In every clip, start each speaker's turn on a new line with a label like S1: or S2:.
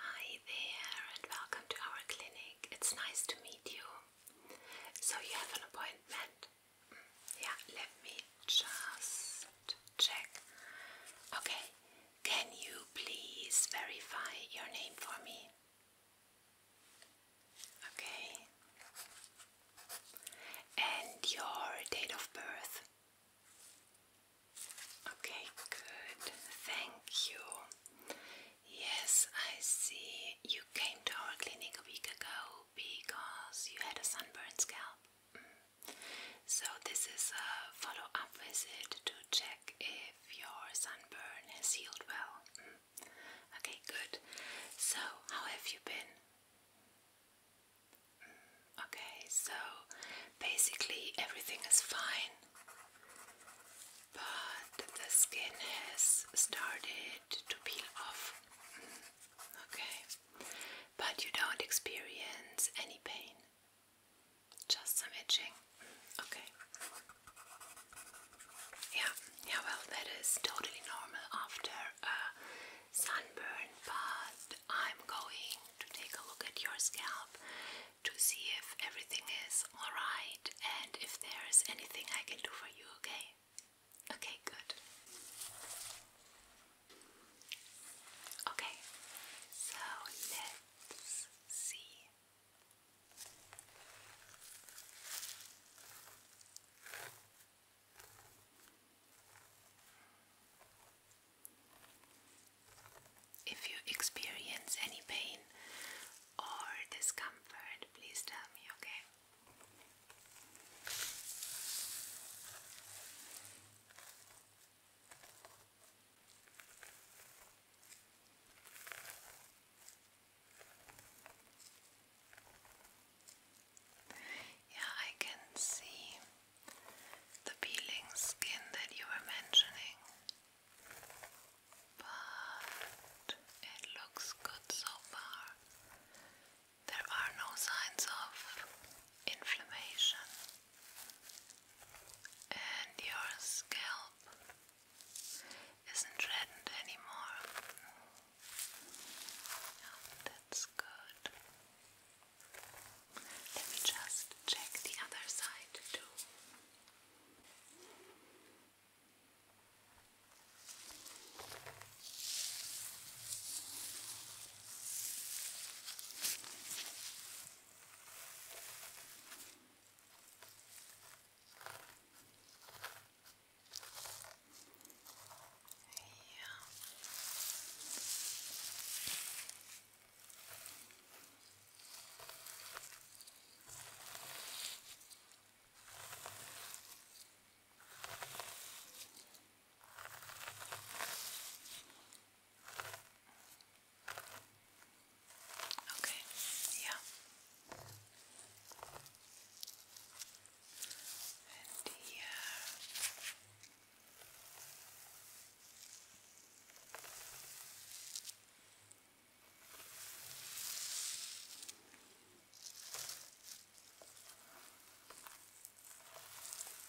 S1: Hi there and welcome to our clinic. It's nice to meet you. So you have an appointment? Mm, yeah, let me just check. Okay, can you please verify your name for me? Okay. And your date of birth? Okay, good. Thank you. Yes, I see. You came to our clinic a week ago because you had a sunburned scalp. Mm. So, this is a follow up visit to check if your sunburn has healed well. Mm. Okay, good. So, how have you been? Okay, so basically everything is fine, but the skin has started to peel off. Mm, okay, but you don't experience any pain, just some itching. Okay. Yeah, yeah, well, that is totally normal after sunburn, but I'm going to take a look at your scalp to see if everything is alright and if there's anything I can do for you, okay? Okay, good. Okay, so let's see. If you experience any pain or discomfort, please tell me, okay? Yeah, I can see the peeling skin that you were mentioning, but it looks good so far. There are no signs of inflammation, and your scalp isn't reddened anymore. that's good. Let me just check the other side too. Yeah. Okay, yeah. And here,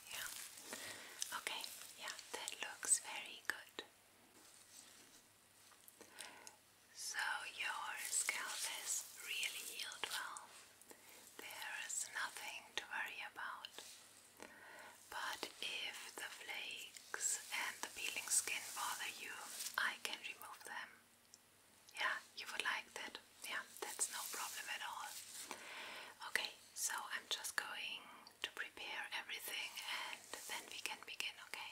S1: yeah. Okay. Yeah, that looks very good. So your scalp has really healed well. There is nothing to worry about. But if the flakes and the peeling skin bother you, I can remove them. Yeah, you would like that. Yeah, that's no problem at all. Okay, so I'm just going to prepare everything and then we can begin, okay?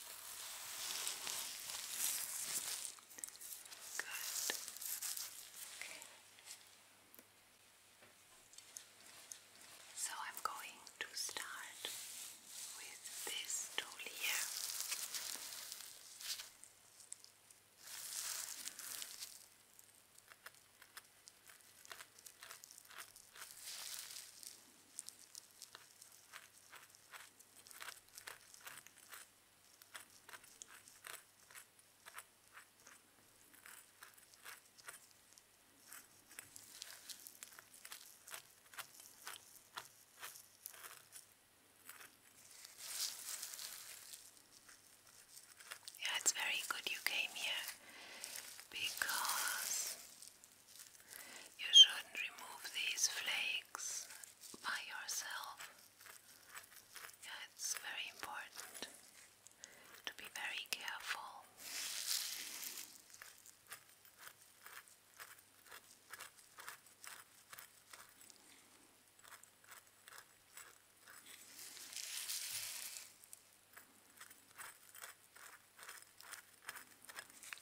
S1: Good. Okay. So I'm going to start with this tool here. Okay. Yeah, it's very good you came here because you shouldn't remove these flakes by yourself. Yeah, it's very important to be very careful.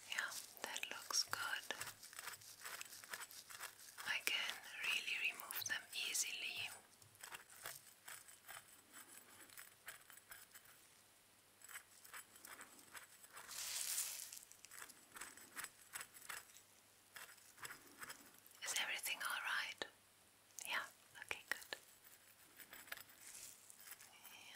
S1: Yeah, that looks good. I can really remove them easily. Is everything all right? Yeah, okay, good. Yeah.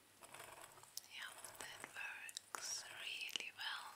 S1: Yeah, that works really well.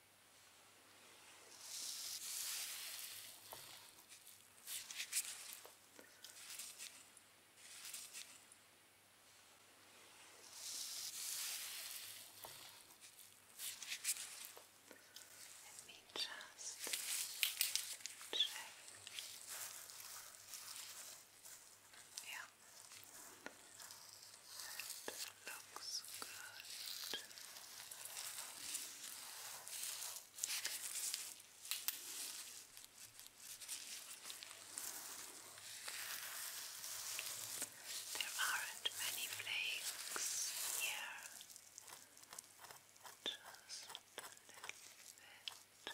S1: Let me just check. Yeah. It looks good. There aren't many flakes here. Just a little bit.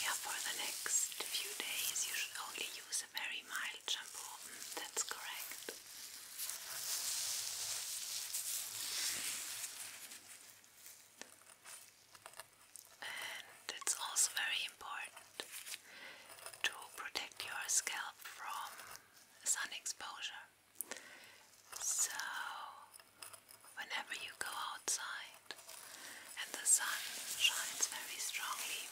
S1: Yeah, for the next few days you should only use a very mild shampoo. Mm, that's correct. And it's also very important to protect your scalp from sun exposure. So, whenever you go outside and the sun shines very strongly,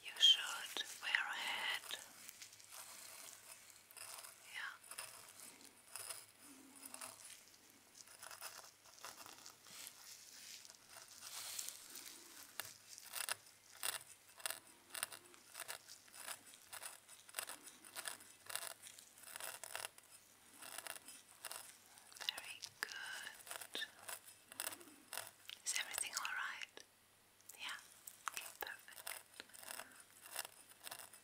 S1: you should wear a hat. Yeah. Very good. Is everything all right? Yeah. Okay, perfect.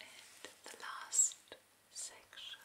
S1: And the last section.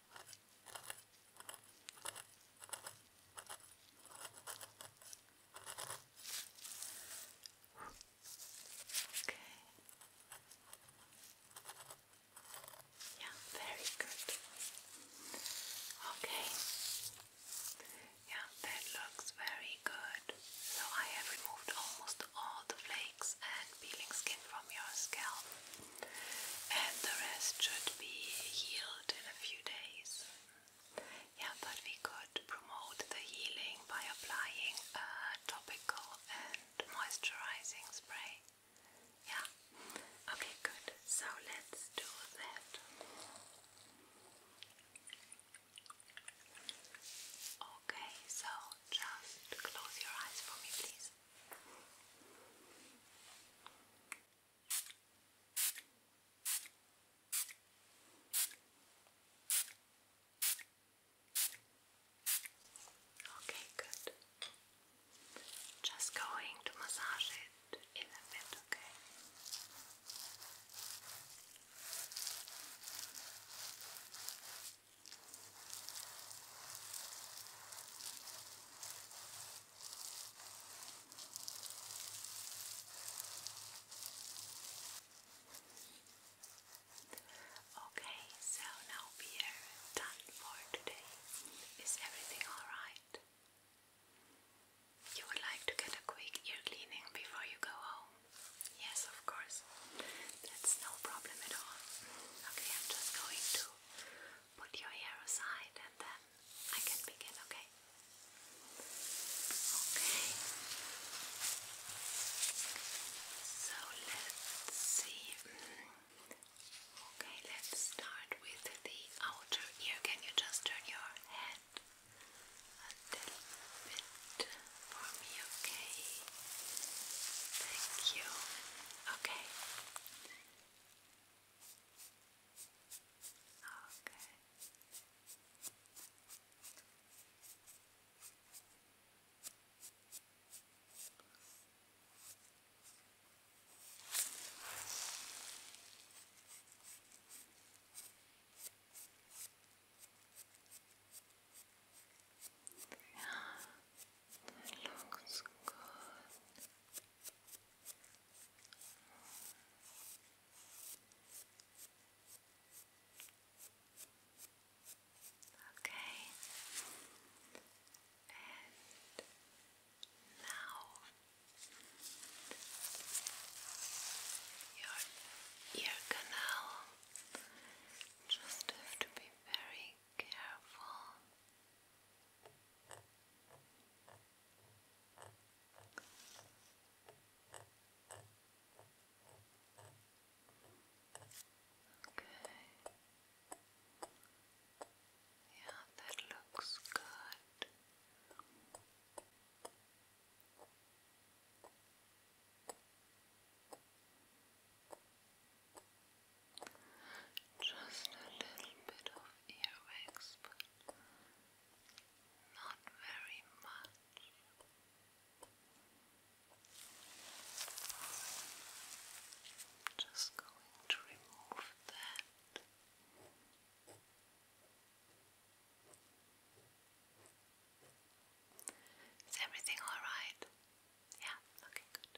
S1: Okay. Yeah, very good. Okay. Yeah, that looks very good. So I have removed almost all the flakes and peeling skin from your scalp and the rest should be healed in a few days. Yeah, but we could promote the healing by applying a topical and moisturizing spray. Yeah, okay, good. So let's do that. Okay, so just close your eyes for me, please. Okay, good. Just going to massage it a bit, Okay, Okay, so now we are done for today. Is everything alright? You would like to get a quick ear cleaning before you go home? Yes, of course. That's no problem at all. Okay, I'm just going to put your hair aside and then I can begin, okay? Okay. So let's see. Mm, okay, let's start with the outer ear. Can you just turn your head a little bit for me, okay? Thank you. Okay. Okay. Yeah, looks good. Okay, and now your ear canal just have to be very careful. Okay. Yeah, that looks good. Just a little bit of earwax, but not very much. Just going to remove that. Is everything all right? Yeah, okay, good.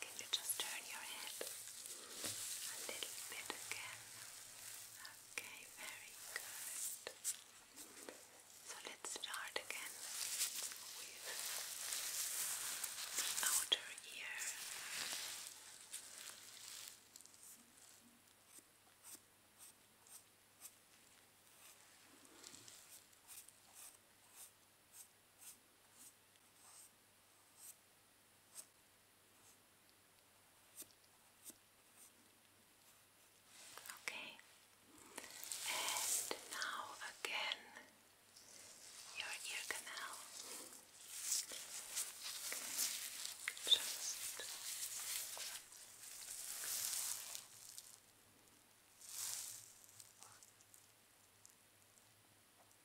S1: Can you just turn your head a little bit again? Okay, very good. So let's start again with the outer ear. Okay, and now again your ear canal. Just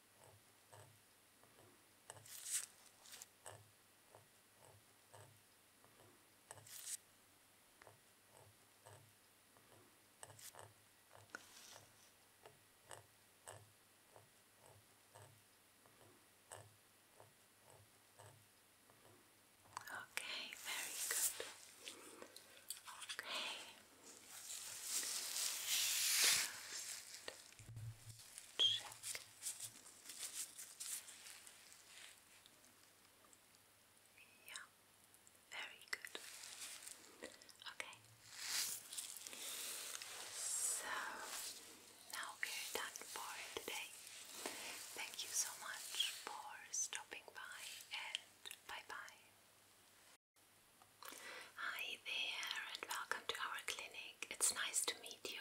S1: Okay, very good. Okay. check yeah, very good. Okay. So now we're done for today. Thank you so much for stopping by and bye bye. Hi Hi and welcome to our clinic. It's nice to meet you.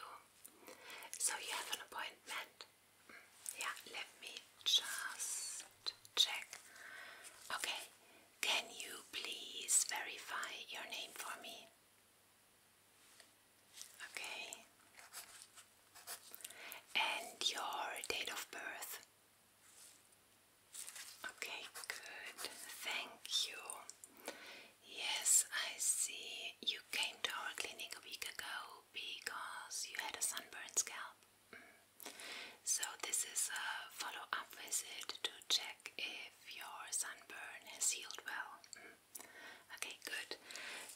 S1: So you have an appointment? Mm, yeah, let me just check. Okay, can you please verify your name for me? Okay. And your date of birth? Okay, good. Thank you. Yes, I see. You came to our clinic a week ago because you had a sunburned scalp. Mm. So, this is a follow up visit to check if your sunburn has healed well. Mm. Okay, good.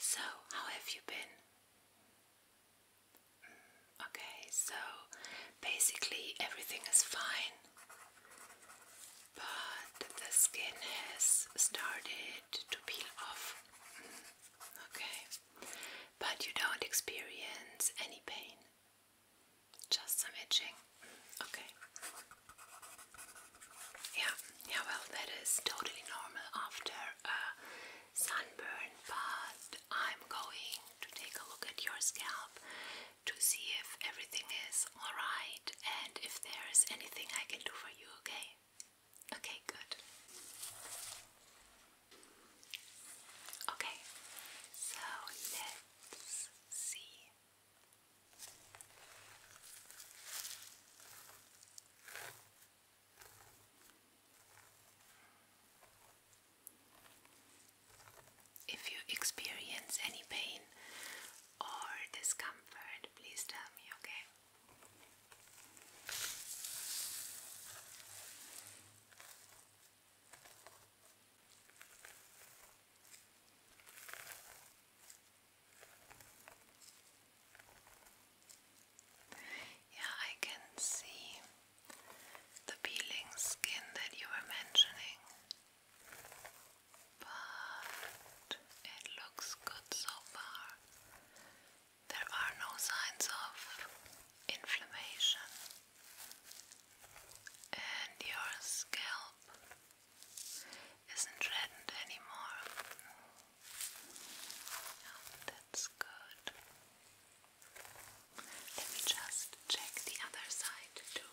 S1: So, how have you been? Mm, okay, so basically everything is fine but the skin has started to peel off. Mm, okay, but you don't experience any pain, just some itching. Mm, okay, yeah, yeah, well, that is totally normal after a sunburn, but I'm going to take a look at your scalp to see if everything is alright and if there is anything I can do for you, okay? Okay, good. Okay, so let's see. If you experience any pain or discomfort? Please tell me, okay? Yeah, I can see the peeling skin that you were mentioning but it looks good so far. There are no signs of inflammation, and your scalp isn't reddened anymore. Oh, that's good. Let me just check the other side too.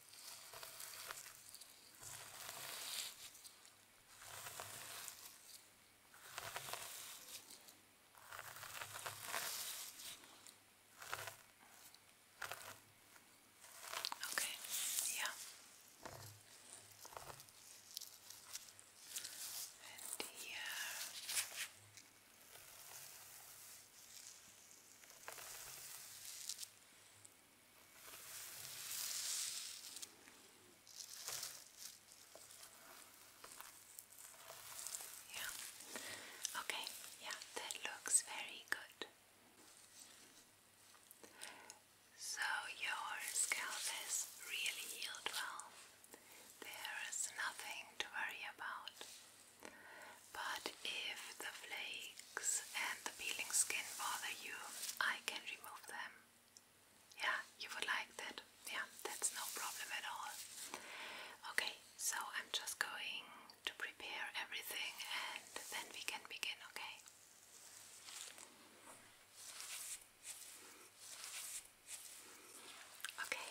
S1: Okay, yeah. And here. Yeah. Okay. Yeah, that looks very good. So your scalp has really healed well. There is nothing to worry about. But if the flake and the peeling skin bother you, I can remove them. Yeah, you would like that. Yeah, that's no problem at all. Okay, so I'm just going to prepare everything and then we can begin, okay? Okay.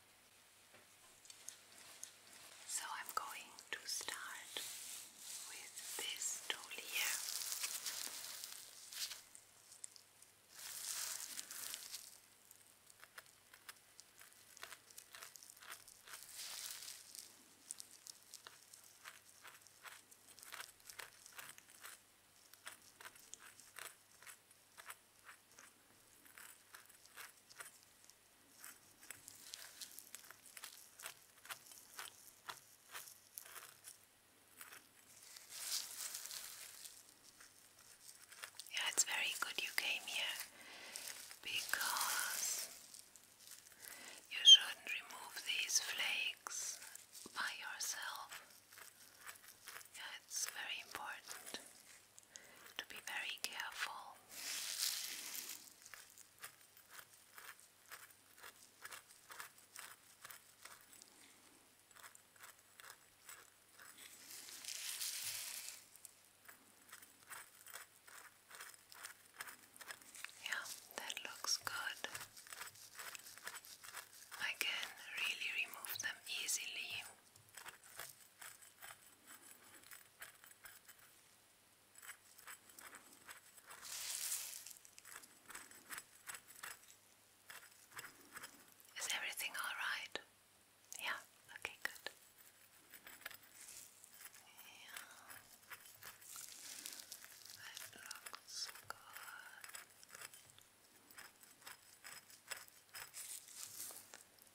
S1: So I'm going to start with this tool here. Yeah, it's very good you came here because you shouldn't remove these flakes by yourself. Yeah, it's very important to be very careful. Yeah, that looks good. I really remove them easily. Is everything all right? Yeah, okay, good. Yeah. That looks good.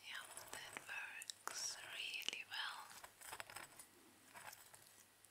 S1: Yeah, that works really well.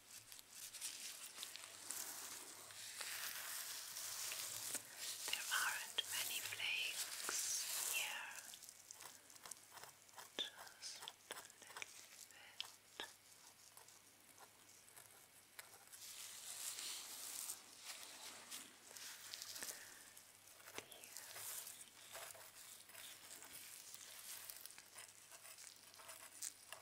S1: There aren't many flakes here, just a little bit. Here.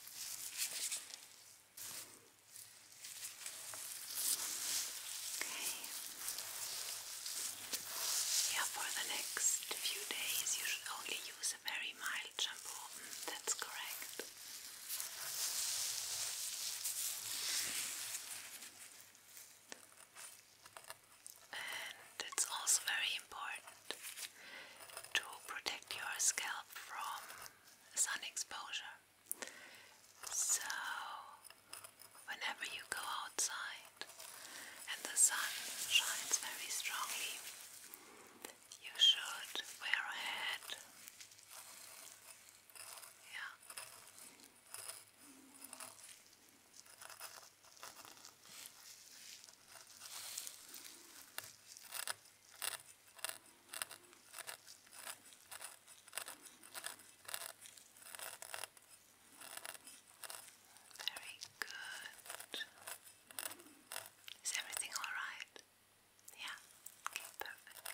S1: Yeah, for the next few days you should only use a very mild shampoo. Mm, that's correct. And it's also very important to protect your scalp from sun exposure. So, whenever you go outside and the sun shines very strongly, you should wear a hat. Yeah. Very good. Is everything all right? Yeah. Okay, perfect.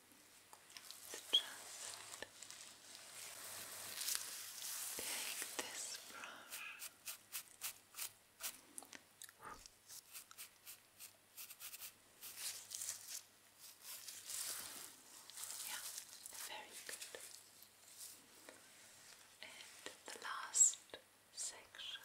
S1: just take this brush yeah, very good. And the last section.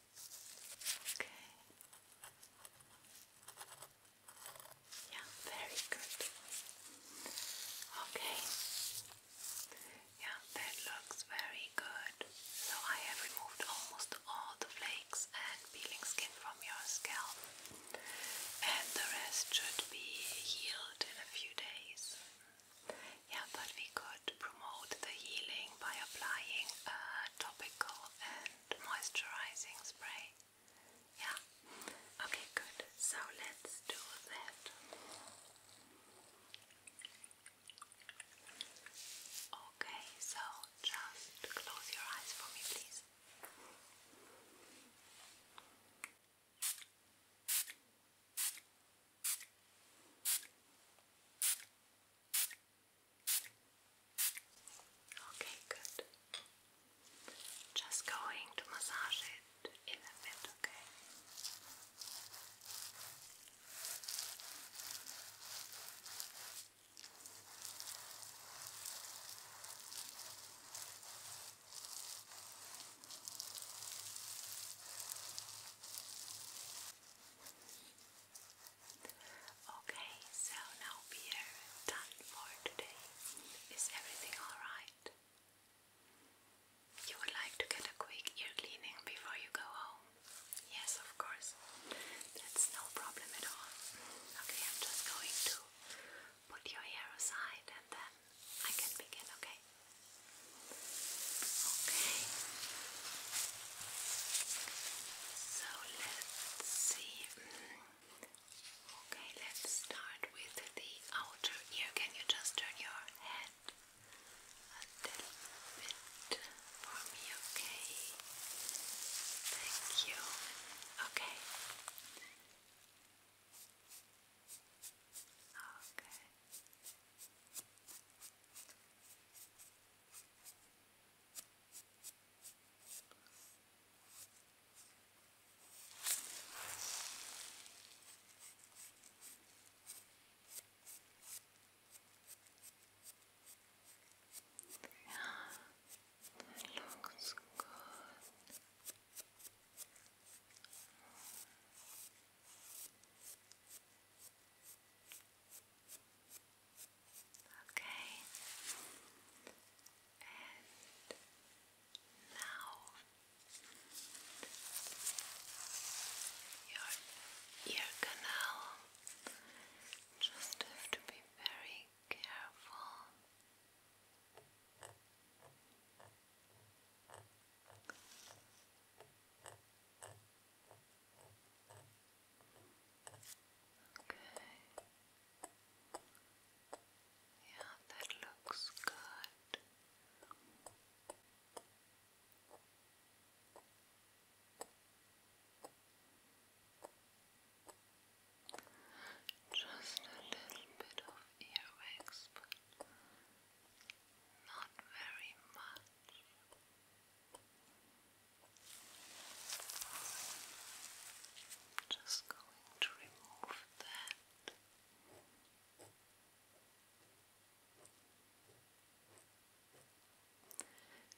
S1: Okay. Yeah, very good. Okay. Yeah, that looks very good. So I have removed almost all the flakes and peeling skin from your scalp. And the rest should be healed in a few days. Yeah, but we could could uh, promote the healing by applying a topical and moisturizing spray. Yeah? Okay, good. So let's do that. Okay, so just close your eyes for me, please. Okay, good. Just going to massage it a bit, okay? Okay, so now we are done for today. Is everything alright? You would like to get a quick ear cleaning before you go home? Yes, of course. That's no problem at all. Okay, I'm just going to put your hair aside and then I can begin, okay? Okay. So let's see. Mm, okay, let's start with the outer ear. Can you just turn your head a little bit for me? Okay. Thank you. Okay. Okay. Yeah, that looks good. Okay, and now your ear canal just have to be very careful. Okay. Yeah, that looks good. Just a little bit of earwax, but not very much. Just going to remove that.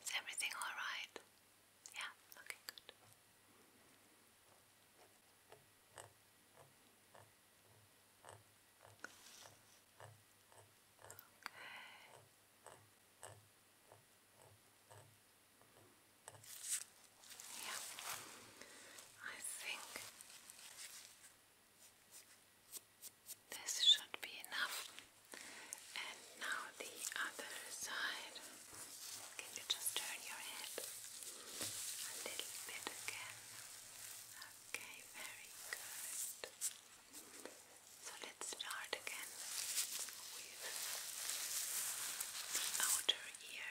S1: Is everything all right? Yeah, looking good. Okay. Yeah, I think this should be enough. And now the other side. Can you just turn your head a little bit again? Okay, very good. So let's start again with the outer ear.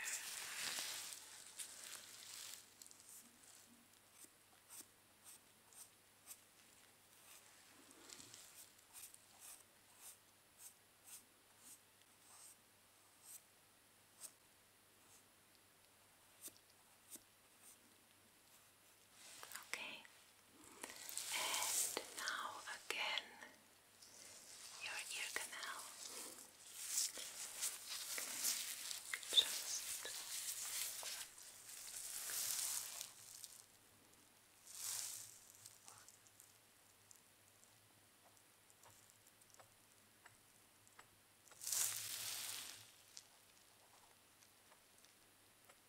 S1: Okay, and now again your ear canal. Just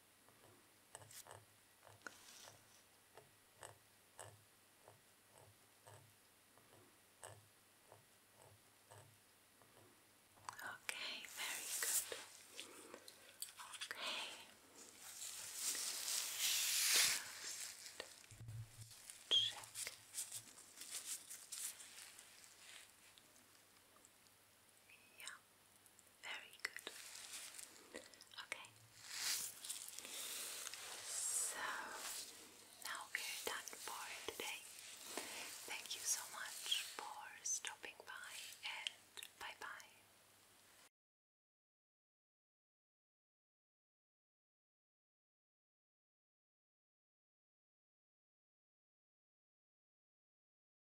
S1: Okay, very good. Okay. Just check. Yeah. Very good. Okay. So now we're done for today. Thank you so much for stopping by and bye bye.